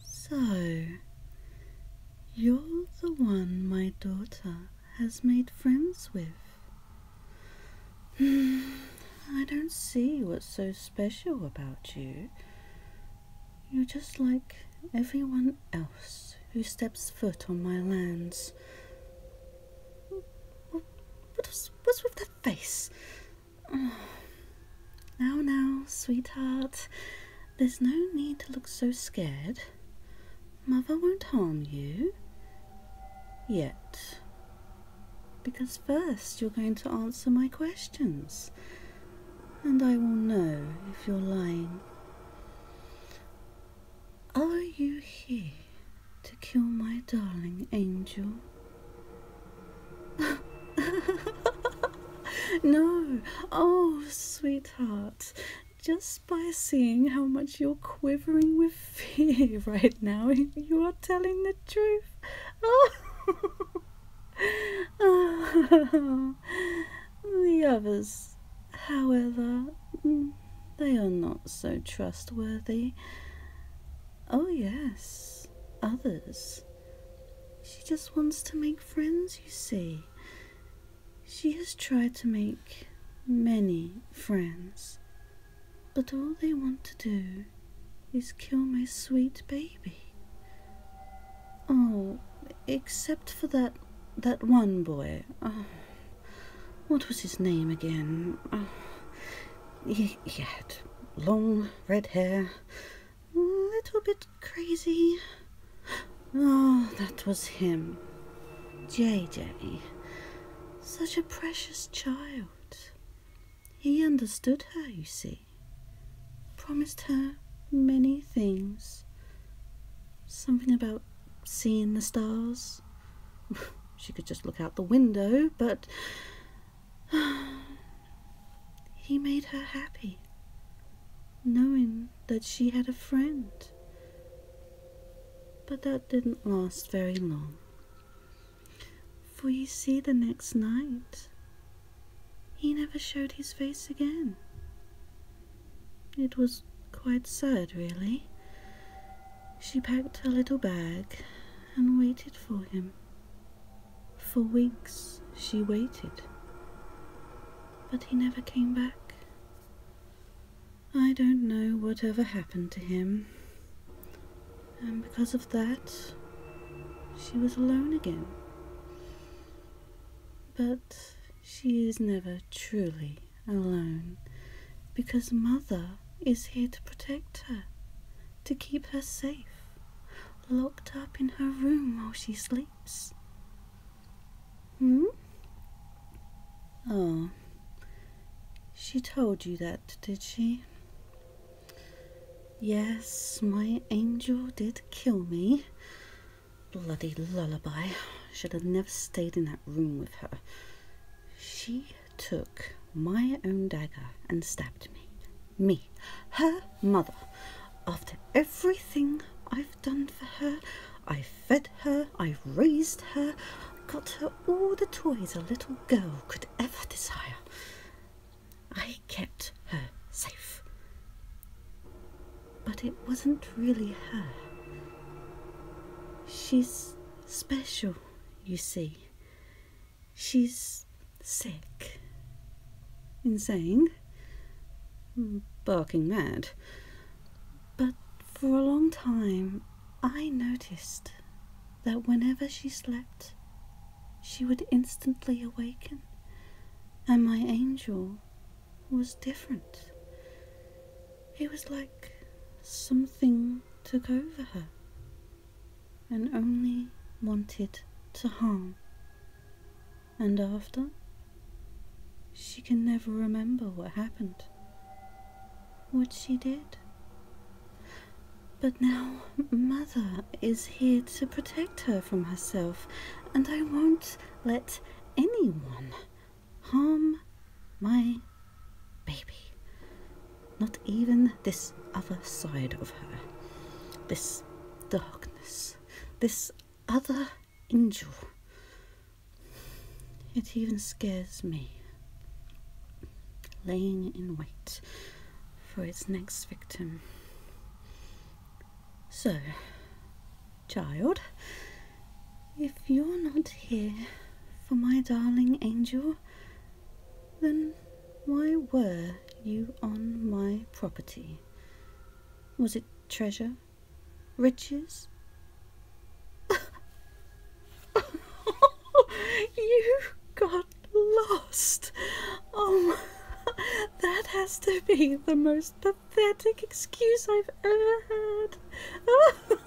So, you're the one my daughter has made friends with. I don't see what's so special about you. You're just like everyone else who steps foot on my lands. What What's, with that face? Now, now, sweetheart, there's no need to look so scared. Mother won't harm you. Yet. Because first you're going to answer my questions, and I will know if you're lying. Are you here to kill my darling angel? no, oh, sweetheart, just by seeing how much you're quivering with fear right now, you are telling the truth. Oh. the others, however, they are not so trustworthy. Oh, yes, others. She just wants to make friends, you see. She has tried to make many friends, but all they want to do is kill my sweet baby. Oh, except for that that one boy. Oh, what was his name again? Uh, he, he had long red hair, a little bit crazy. Oh, that was him. JJ. Such a precious child. He understood her, you see. Promised her many things. Something about seeing the stars she could just look out the window, but he made her happy, knowing that she had a friend. But that didn't last very long. For you see, the next night, he never showed his face again. It was quite sad, really. She packed her little bag and waited for him. For weeks she waited, but he never came back. I don't know whatever happened to him, and because of that, she was alone again. But she is never truly alone because Mother is here to protect her, to keep her safe, locked up in her room while she sleeps. Hmm? Oh, she told you that, did she? Yes, my angel did kill me, Bloody lullaby. Should have never stayed in that room with her. She took my own dagger and stabbed me. Me, her mother. After everything I've done for her, I fed her, I raised her, got her all the toys a little girl could ever desire. I kept her safe but it wasn't really her. She's special, you see. She's sick, insane, barking mad. But for a long time, I noticed that whenever she slept, she would instantly awaken, and my angel was different. It was like something took over her and only wanted to harm. And after, she can never remember what happened, what she did. But now, Mother is here to protect her from herself, and I won't let anyone harm my baby. Not even this other side of her, this darkness, this other angel. It even scares me. Laying in wait for its next victim. So, child, if you're not here for my darling angel, then why were you on my property? Was it treasure? Riches? you got lost. Oh, that has to be the most pathetic excuse I've ever heard.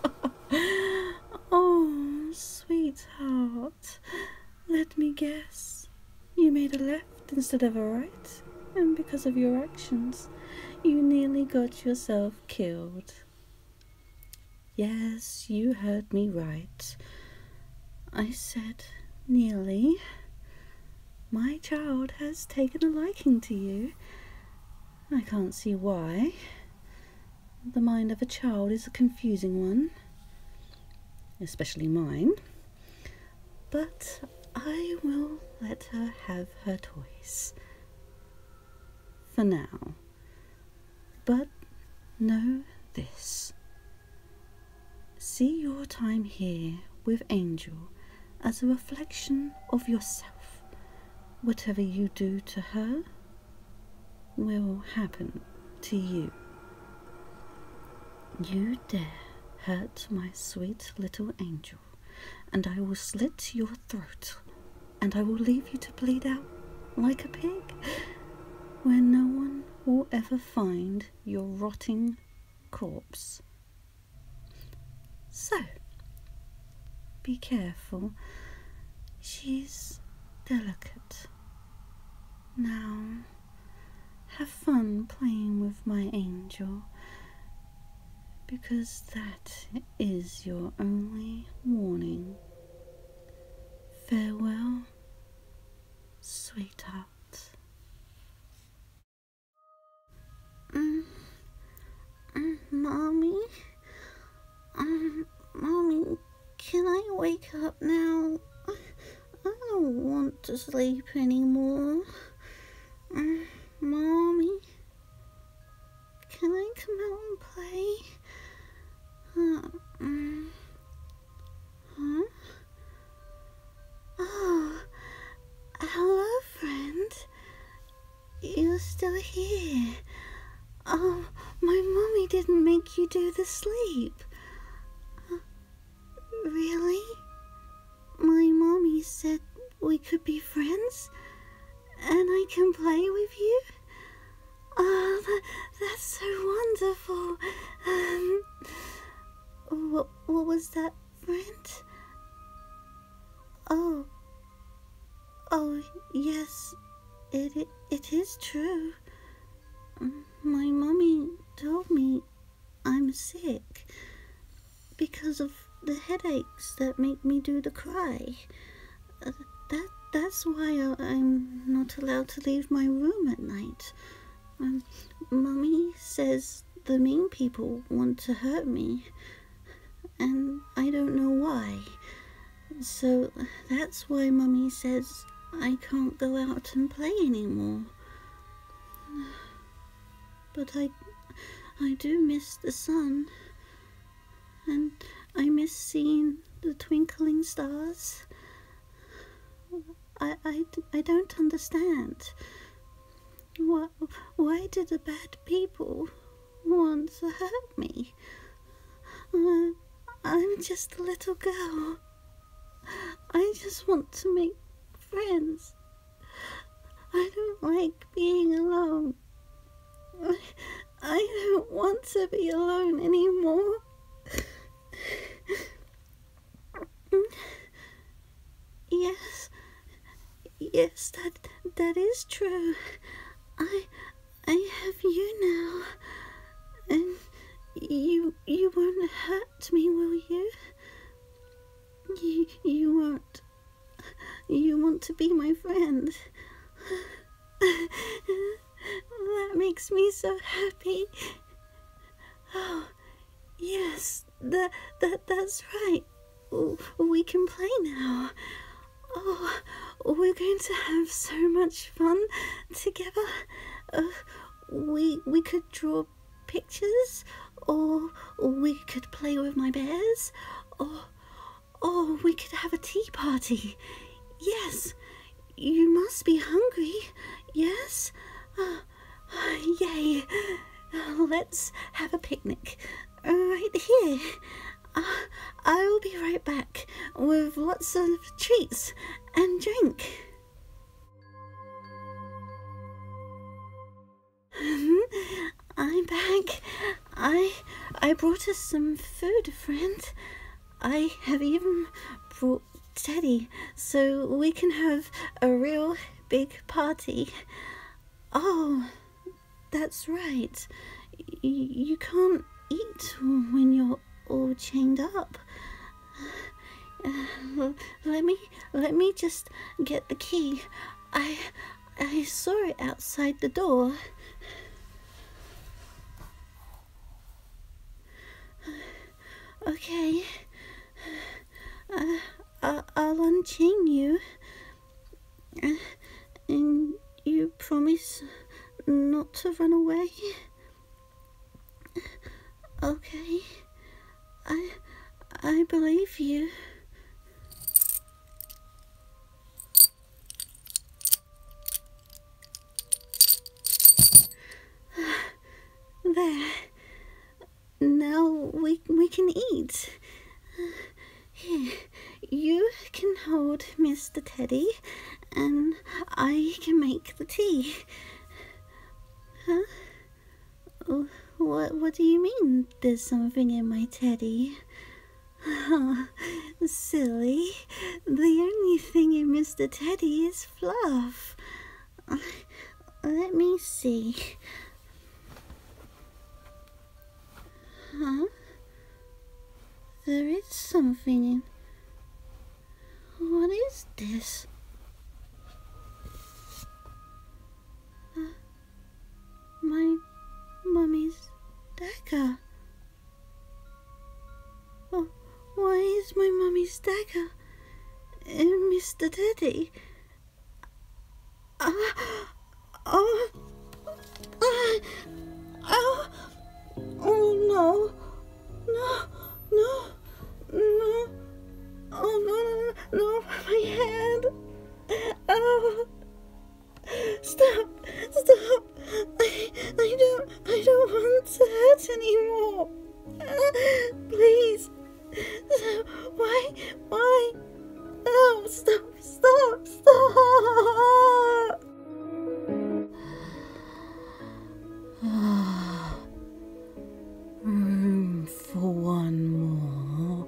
oh sweetheart. Let me guess. You made a left instead of a right, and because of your actions, you nearly got yourself killed. Yes, you heard me right. I said, Nearly, my child has taken a liking to you. I can't see why. The mind of a child is a confusing one, especially mine. But I will let her have her toys. For now. But know this See your time here with Angel as a reflection of yourself. Whatever you do to her will happen to you. You dare hurt my sweet little angel, and I will slit your throat, and I will leave you to bleed out like a pig, where no one will ever find your rotting corpse. So, be careful. She's delicate. Now, have fun playing with my angel, because that is your only warning. Farewell sweetheart. Mm, mm, mommy? Um, mommy, can I wake up now? I, don't want to sleep anymore. Mm, mommy, can I come out and play? Uh, mm, Hmm? Oh, hello, friend. You're still here. Oh, my mommy didn't make you do the sleep. really? My mommy said we could be friends and I can play with you? Oh, that's so wonderful. Um, what, what was that, friend? Oh. Oh, yes, it, it, it is true. My mommy told me I'm sick because of the headaches that make me do the cry that that's why I, am not allowed to leave my room at night. Um, Mummy says the mean people want to hurt me, and I don't know why. So that's why Mummy says I can't go out and play anymore. But I, I do miss the sun and I miss seeing the twinkling stars. I, I, I don't understand. Why, why do the bad people want to hurt me? Uh, I'm just a little girl. I just want to make friends. I don't like being alone. I don't want to be alone anymore. yes, yes, that that is true. I I have you now, and you you won't hurt me, will you? You you will You want to be my friend. that makes me so happy. Oh, yes, that, that, that's right. We can play now. Oh, we're going to have so much fun together. Uh, we, we could draw pictures, or we could play with my bears, or, Oh, we could have a tea party. Yes. You must be hungry. Yes? Uh, yay. Uh, let's have a picnic. Uh, right here. Uh, I will be right back with lots of treats and drink. Hmm? I'm back. I I brought us some food, friend. I have even brought Teddy so we can have a real big party. Oh, that's right. you can't eat when you're all chained up. Uh, let me let me just get the key. I I saw it outside the door. Okay. Uh, I'll, I'll unchain you. and you promise not to run away? Okay. I I believe you. There. Now we, we can eat. you can hold Mr. Teddy and I can make the tea. Huh? Oh. What what do you mean there's something in my teddy? silly. The only thing in Mr. Teddy is fluff. Let me see. Huh? There is something in... What is this? my mummy's dagger. Oh, why is my mummy's dagger Mr. Teddy? Uh, oh, oh, oh no, no, no, no, oh no, no, my head. Oh. Stop! Stop! I, I don't I don't want to hurt anymore. please. why why? Oh, stop! Stop! Stop! Room hmm for one more.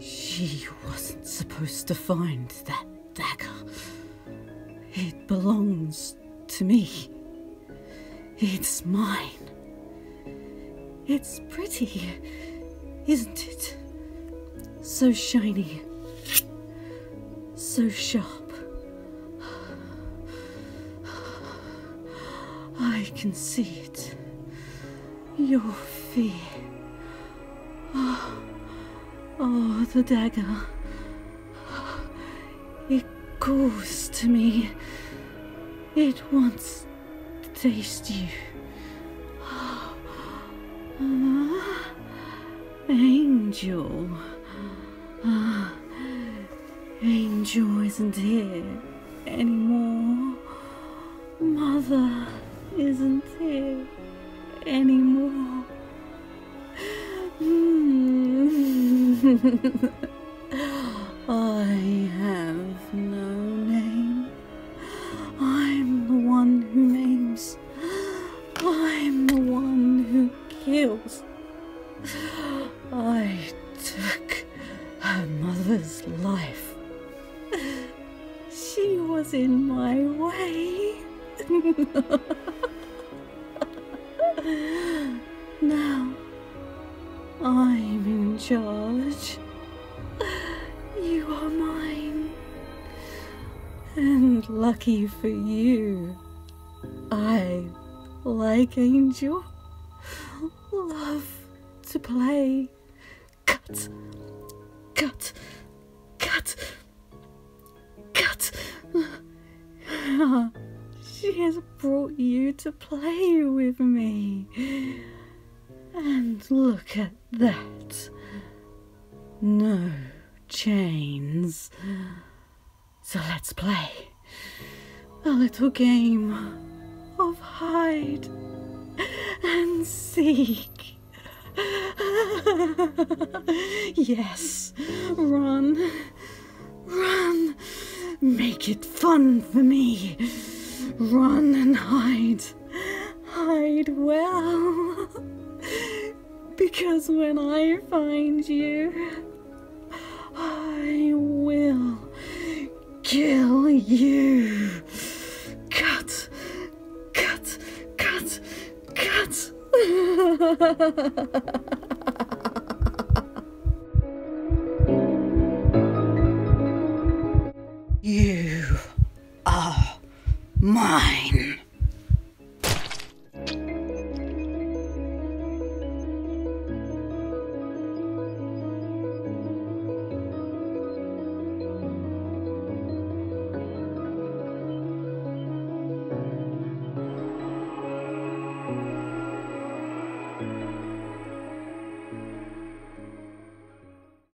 she wasn't supposed to find that dagger. It belongs to me. It's mine. It's pretty, isn't it? So shiny so sharp. I can see it. Your fear. Oh, the dagger. It calls to me. It wants to taste you. Ah, Angel. Ah, Angel isn't here anymore. Mother isn't here anymore. Hmm. I have no name. I'm the one who names I'm the one who kills. I took her mother's life. She was in my way. now I'm in charge. You are mine. And lucky for you, I, like Angel, love to play. Cut, cut, cut, cut. she has brought you to play with me. And look at at that. No chains. So let's play a little game of hide and seek. yes, run, run, make it fun for me. Run and hide hide well. because when I find you, I will kill you. Cut, cut, cut, cut. you are mine.